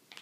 Trees.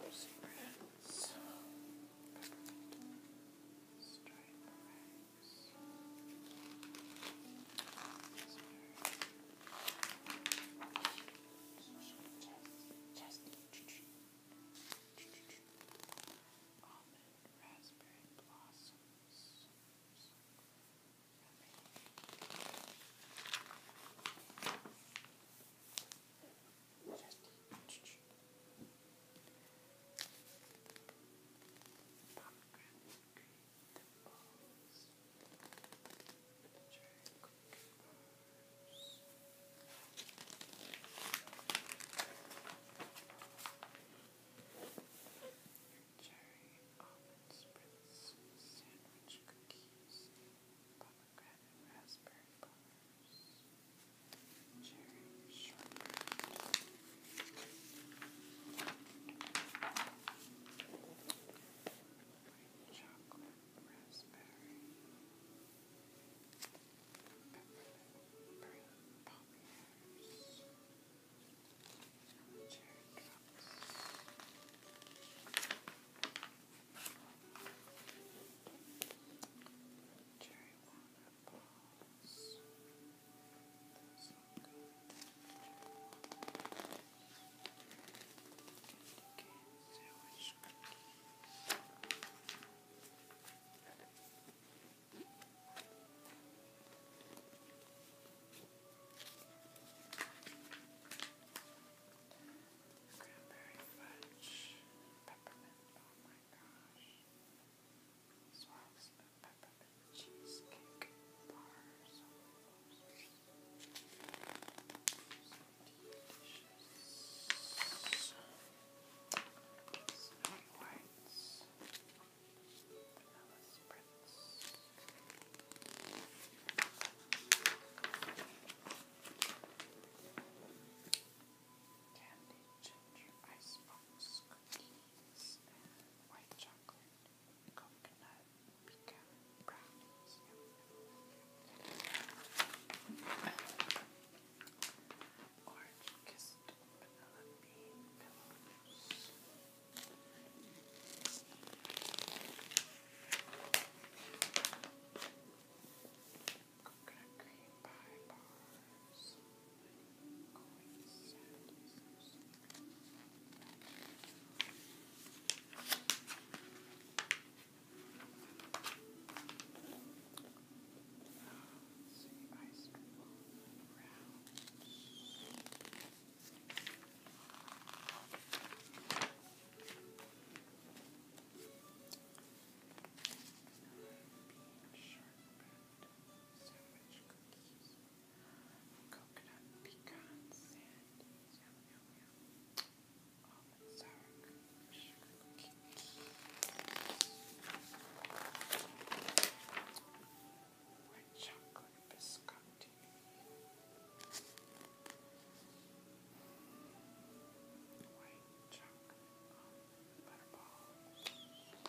Rosy reds, striped rags, raspberry, Chest, chest, almond, raspberry blossoms. Just pomegranate, green, the balls. Cherry almond spritz, sandwich cookies, pomegranate raspberry bars, cherry shortbread. White chocolate, raspberry, peppermint, green poppers, cherry drops. Cherry walnut balls. Those look good. Cranberry fudge, peppermint, oh my gosh. Swirls of peppermint cheesecake bars. Oh Snowy White's Alice Prince. Candy ginger icebox cookies and white chocolate coconut pecan brownies. Orange kissed vanilla bean pillows. Coconut cream pie bars see, I scribble around. Being sharpened sandwich cookies coconut pecan sand. Yum, yum, yum. Almond sour sugar cookie. White chocolate biscotti. White chocolate um, butterballs. Chocolate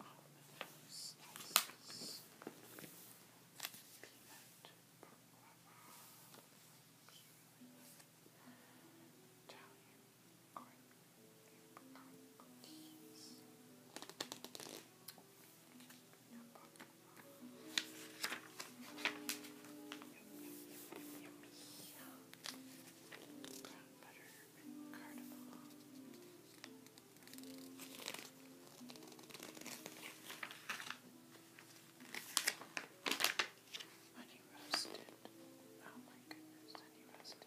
all of those slices. Peanut Italian corn apricot cookies. Yum, yum, yum, yummy. Brown butter and cardamom. Honey roasted. Oh my goodness, honey roasted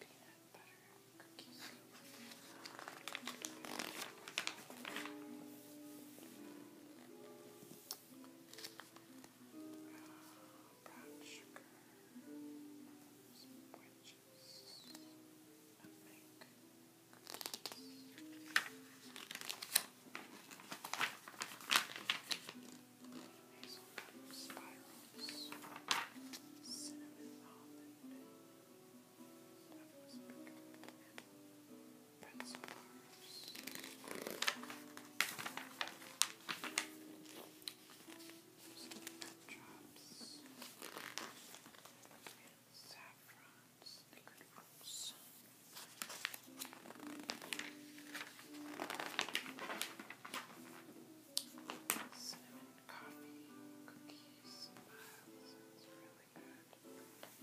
peanut butter cookies. Uh, brown sugar, some white Hazelnut spirals, cinnamon almond, that was big. pencil bars, just look at that drops. And saffron, snickered fruits. Cinnamon coffee, cookies, miles. That's really good. Cinnamon coffee, cookies. Cinnamon. And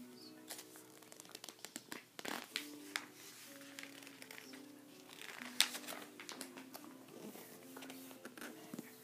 cream and everything.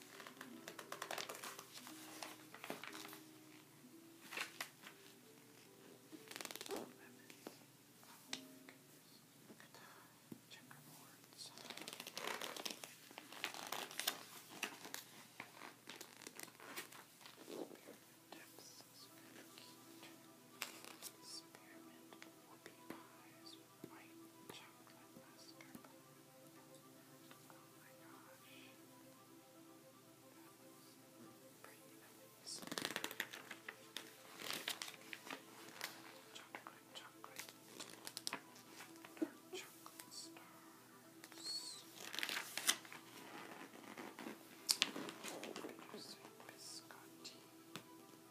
Look at the checkerboards. Dips, so cute. Spearmint whoopie pies white chocolate mustard. Oh my gosh. That pretty nice. Chocolate, chocolate. Dark chocolate stars. Bittersweet biscotti. Chocolate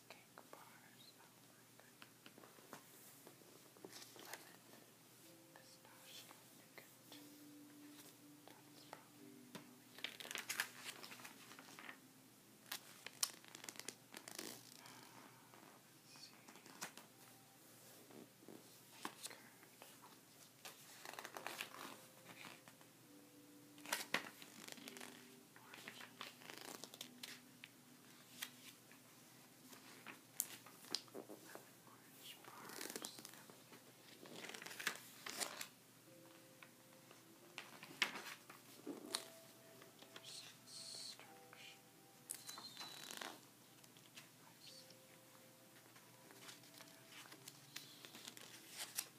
these cake bars. Oh my goodness. Lemon, pistachio, nougat. That's probably really good. Uh, let's see. Curd. Orange bars. There's instructions. I see. Okay.